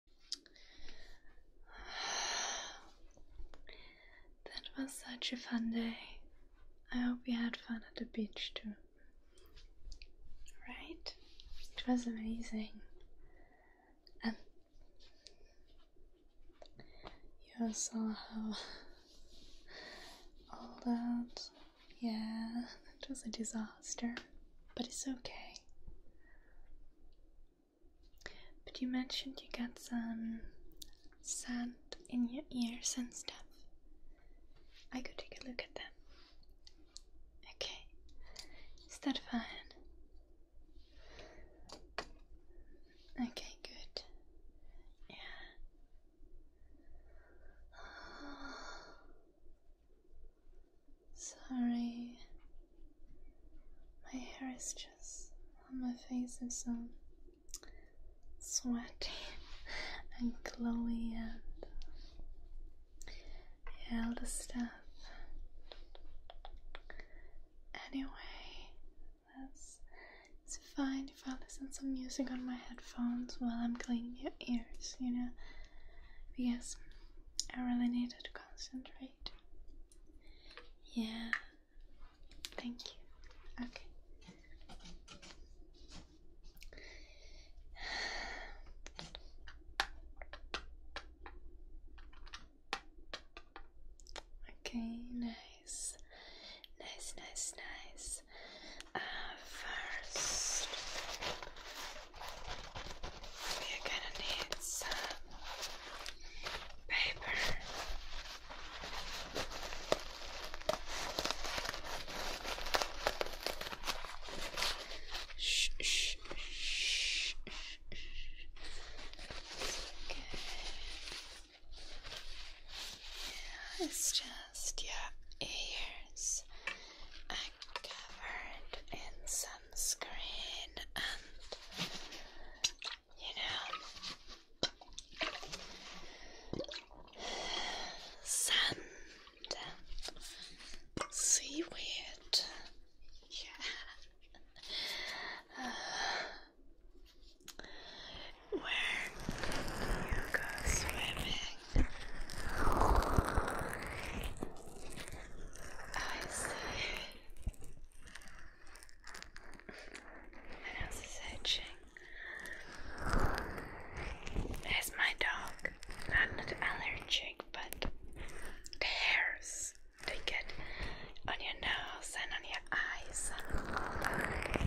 That was such a fun day. I hope you had fun at the beach too. Right? It was amazing. And you saw how all that. Yeah, it was a disaster. But it's okay. But you mentioned you got some sand in your ears and stuff. I could take a look at them. Okay, is that fine? Okay, good. Yeah. Sorry, my hair is just my face is so sweaty and glowy and all the stuff. Anyway, that's it's fine if I listen to music on my headphones while I'm cleaning your ears, you know, because I really needed to concentrate. Yeah, thank you. Okay. Okay, nice, nice, nice, nice. Uh, first, we are gonna need some paper. Shh, shh, shh, Okay. it's just your ears are covered in so Screen and you know sand seaweed yeah uh, where you go swimming I see my nose is itching. There's my dog. Not allergic, but the hairs they get on your nose and on your eyes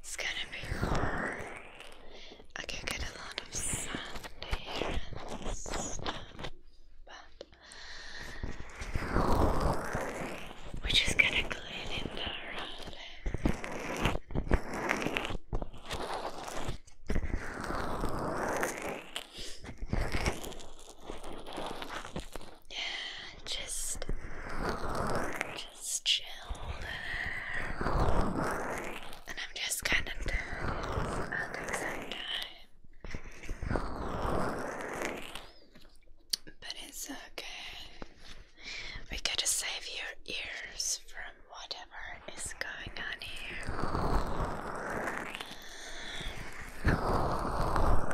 It's gonna be hard. I can get a lot of sun here but we're just gonna clean it thoroughly. Just, just chill. And I'm just kind of done. i But it's okay. We gotta save your ears from whatever is going on here. Because uh,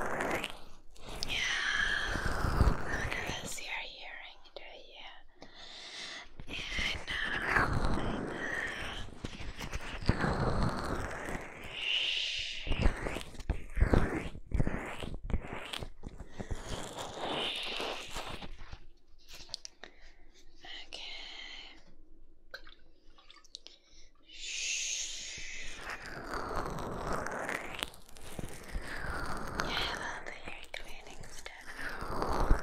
you're hearing do you? know. Okay. Yeah, I love cleaning stuff.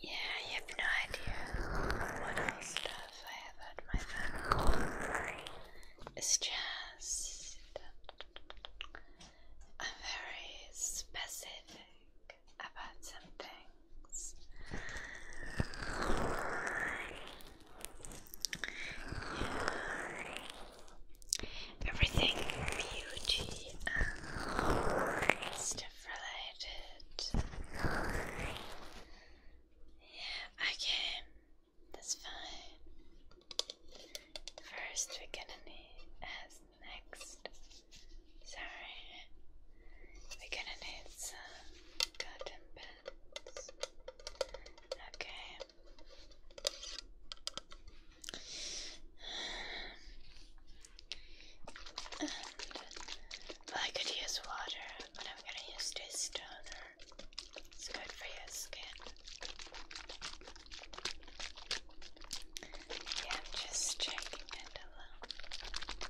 Yeah, you have no idea what all stuff I have at my phone. It's just I'm very specific about some things. Everything beauty stuff related. Yeah, okay, that's fine. First, we're gonna need as next. Sorry, we're gonna need some Cotton pads. Okay. I could use water, but I'm gonna use this toner. It's good for your skin. Yeah, just checking it alone.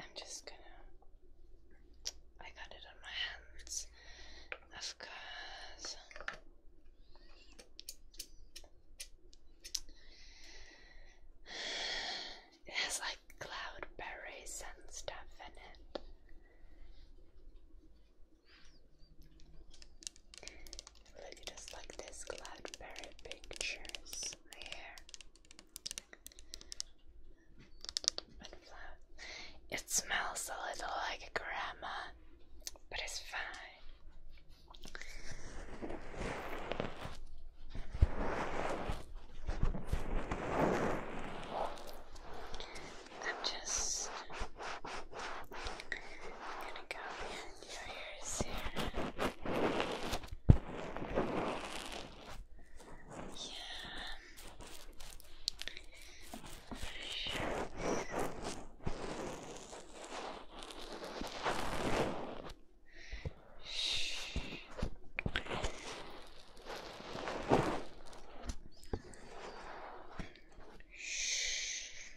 I'm just gonna. I got it on my hands, of course. It has like cloudberries and stuff in it really just like this Cloudberry pictures there. And It smells a little like grandma, but it's fine. I'm just gonna go ears here. Yeah. Shh. I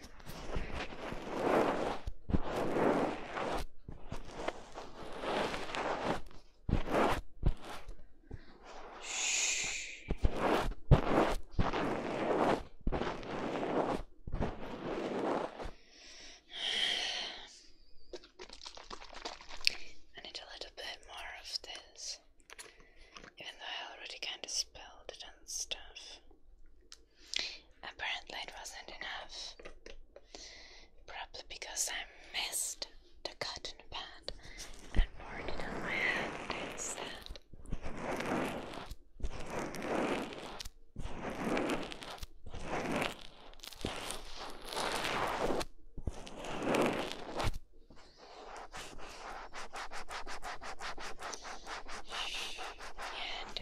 need a little bit more of this, even though I already kind of spilled it and stuff. Apparently, it wasn't enough. Probably because I missed the cutting pad and poured it on my hand instead. And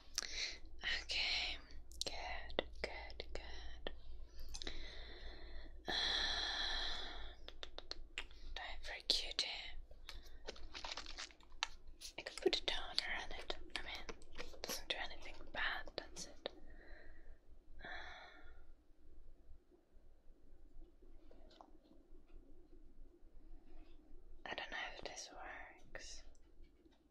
Okay, good, good, good. Uh, time for a Q tip. I could put a toner on it. I mean, doesn't do anything bad, that's it. Uh, I don't know if this works. I'm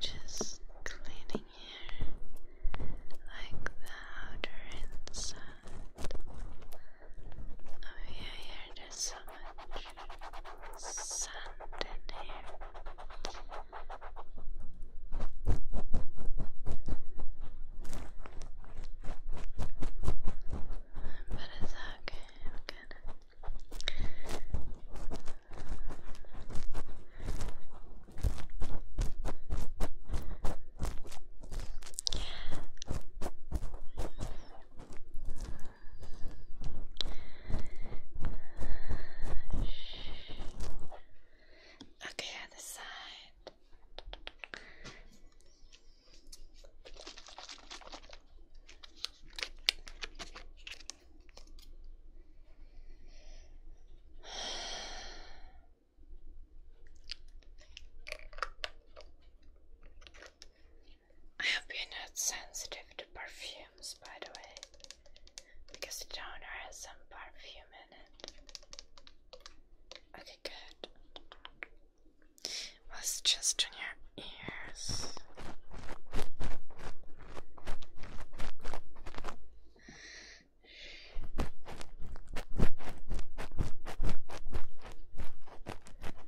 just cleaning here like the outer inside. Oh yeah, yeah, there's so much sand in here. But it's okay, Okay, other side. I have been sensitive to perfumes, by the way, because the donor has some perfume in it. Okay, good. Was just on your ears.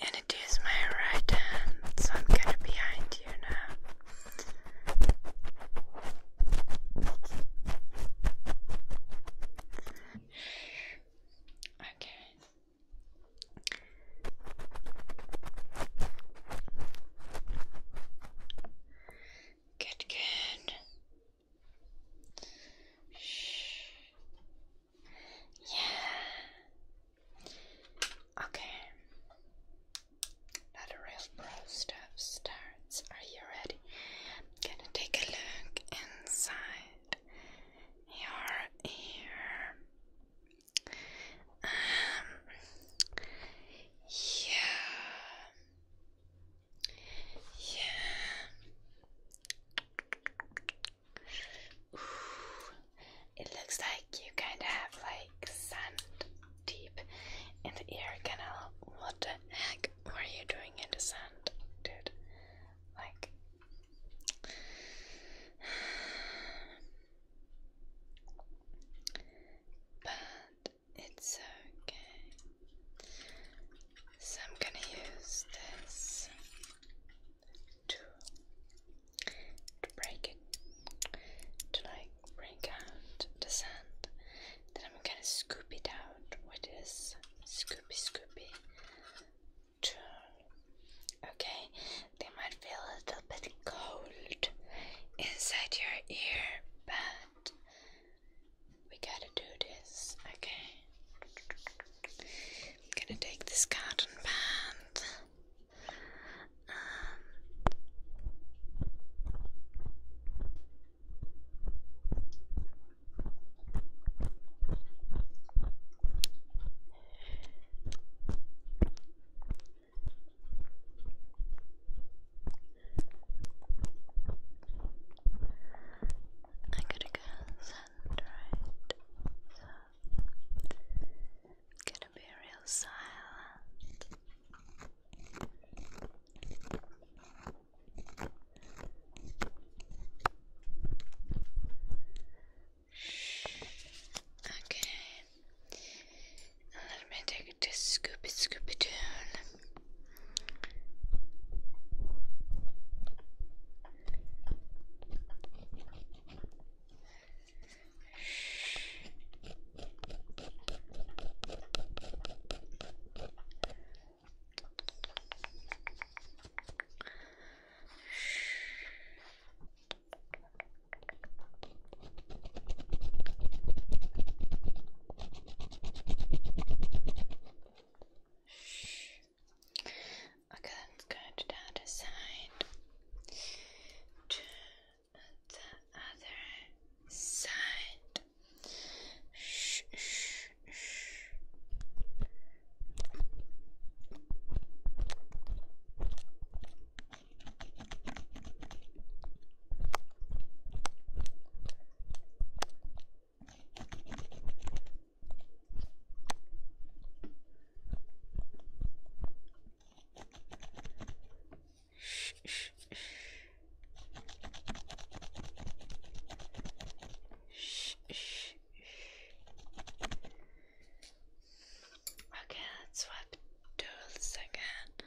And it is my right hand, so I'm going behind you now. Okay. Good, good. Shh. Yeah. Okay. Now the real pro stuff starts. Are you ready? gonna take a look inside your ear. Um. Yeah. Yeah. It looks like you kind of have like sand deep in the ear canal. What the heck were you doing in the sand, dude? Like. But it's okay. So I'm gonna use this to break it, to like break out the sand. Then I'm gonna scoop it out with this scoopy scoopy tool. Okay, they might feel a little bit cold inside your ear, but we gotta do this, okay? I'm gonna take this cotton band. I gotta go send right, it's gonna be real silent. Okay, let me take to Scooby Scooby Doo. Okay, let's go to the other side. Shh, shh, shh. Okay, let's swap tools again.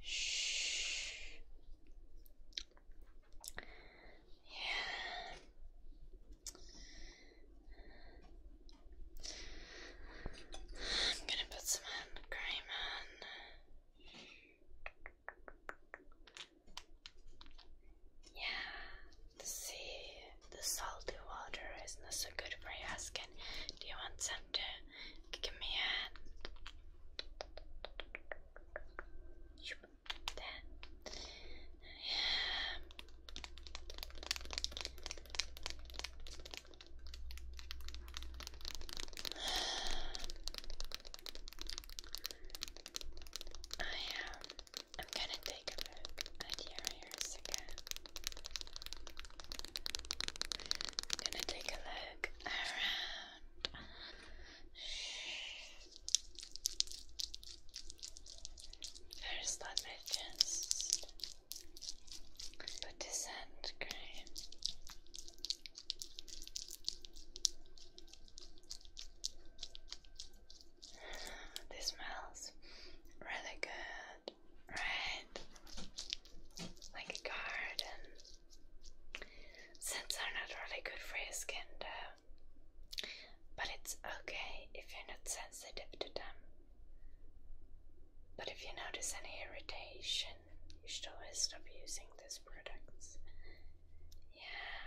Shh. Yeah. I'm gonna put some cream on. Yeah, see, the salty water is not so good for your skin. Do you want some to Give me a hand. Yeah. I am. I'm gonna take a look at your ears again. I'm gonna take a look around. There's that just put this hand cream. This smells really good, right? Like a garden. Since they are not really good for your skin though, but it's okay if you're not sensitive to them. But if you notice any irritation, you should always stop using these products. Yeah.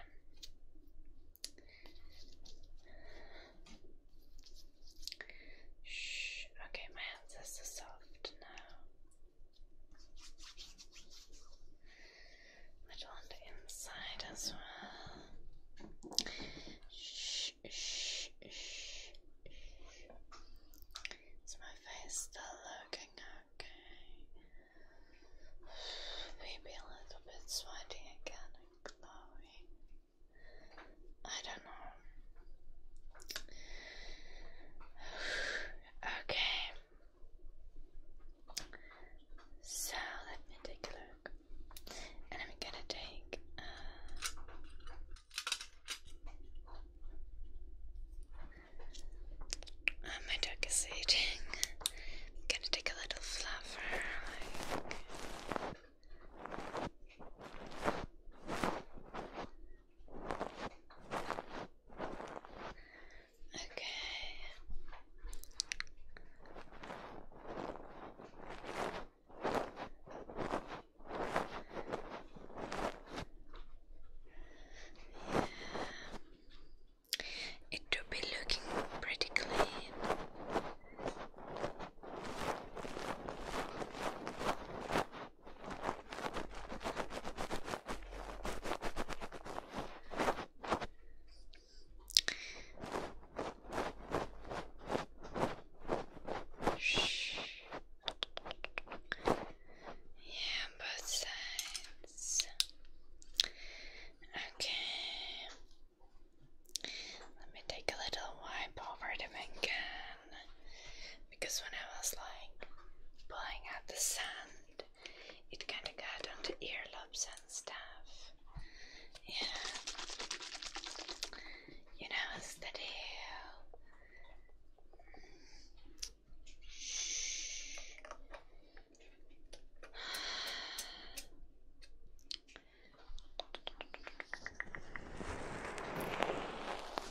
Shh. Okay, my hands are soft now. But on the inside as well. Shh, shh, shh, shh. Is my face still looking okay? Maybe a little bit sweaty again and glowing. I don't know Okay. So let me take a look. And I'm gonna take uh, uh, my dog is eating. gonna take a little flower Okay. Yeah. It will be looking pretty clean. Shh. Yeah, both sides. Okay. Let me take a little wipe over them again because when I was like pulling at the sand, it kind of got onto earlobes and stuff. Yeah, you know the deal.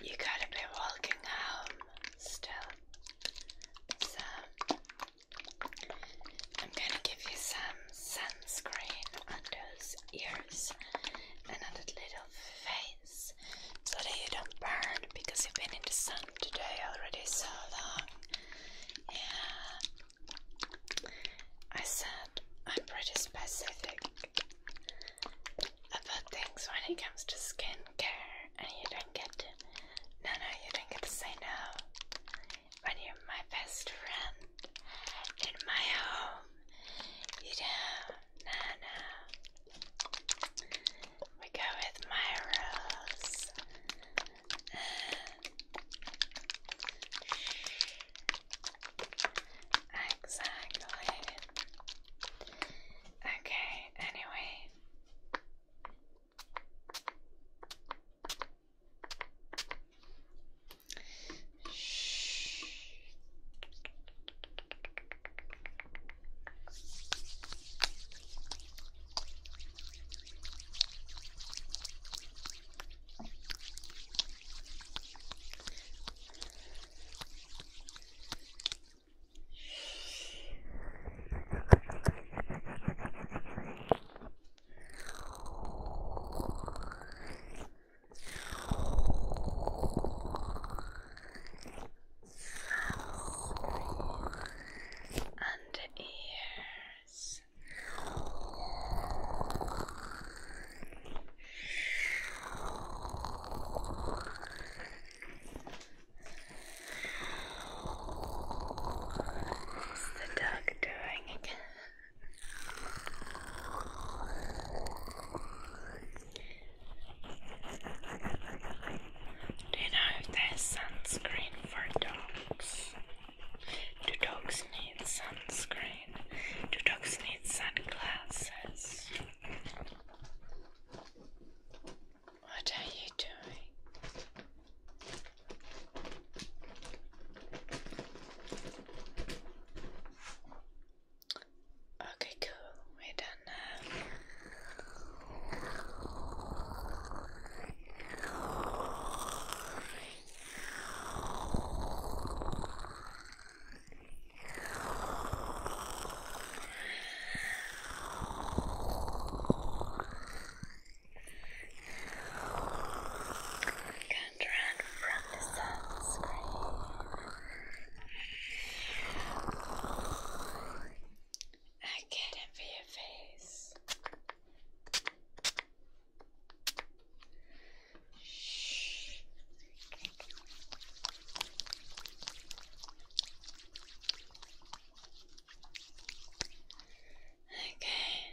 you gotta be walking home still. So I'm gonna give you some sunscreen under those ears and on that little face so that you don't burn because you've been in the sun today already so long. Yeah. I said I'm pretty specific about things when it comes to skincare, and you don't get to. No, no, you don't get to say no. When you're my best friend in my home, you don't. No, no. We go with my rules. Exactly. Okay, anyway. Shh. Under ears. What's the dog doing again? Do you know if there's sunscreen for dogs? Do dogs need sunscreen? Do dogs need sunglasses? What are you doing? Okay, cool. We're done now. Can't run from the sunscreen. I get it for your face. Shh. Okay.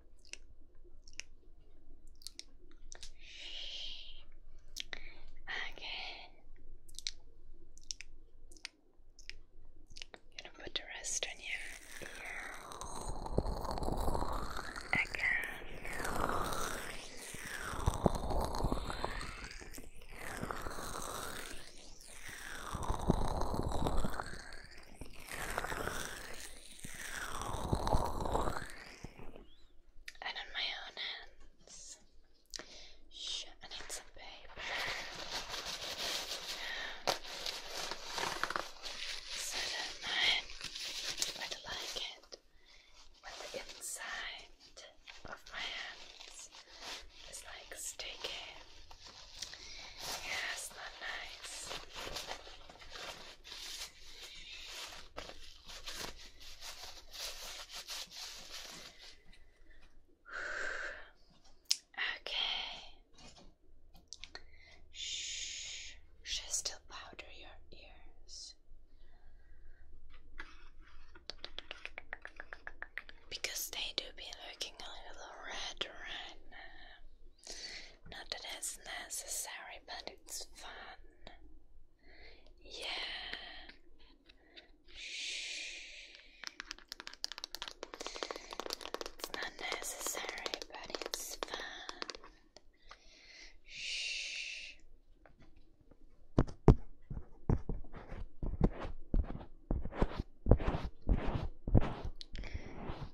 Okay. i gonna put the rest on your Again and on my own hands. I need some paper. So don't mind i inside of my hands is like sticky. Yeah, not nice. Okay. Shh. Should I powder your ears? Because they do be looking a little red right now. Not that it's necessary, but it's fun. Yeah. Shh. It's not necessary, but it's fun. Shh.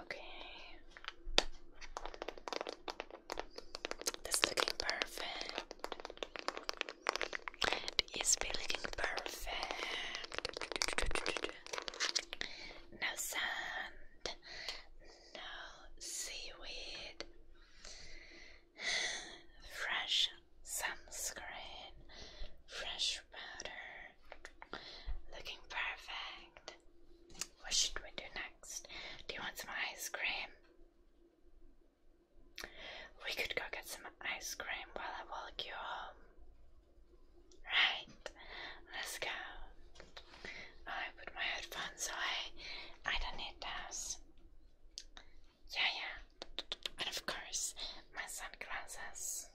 Okay. That's looking perfect. It is looking perfect. No sand, no seaweed, fresh sunscreen, fresh powder. Looking perfect. What should we do next? Do you want some ice cream? We could go get some ice cream while I walk you home. Right, let's go. I put my headphones away. I don't need those. Yeah, yeah. And of course, my sunglasses.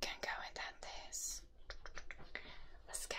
Can go without this. Let's go.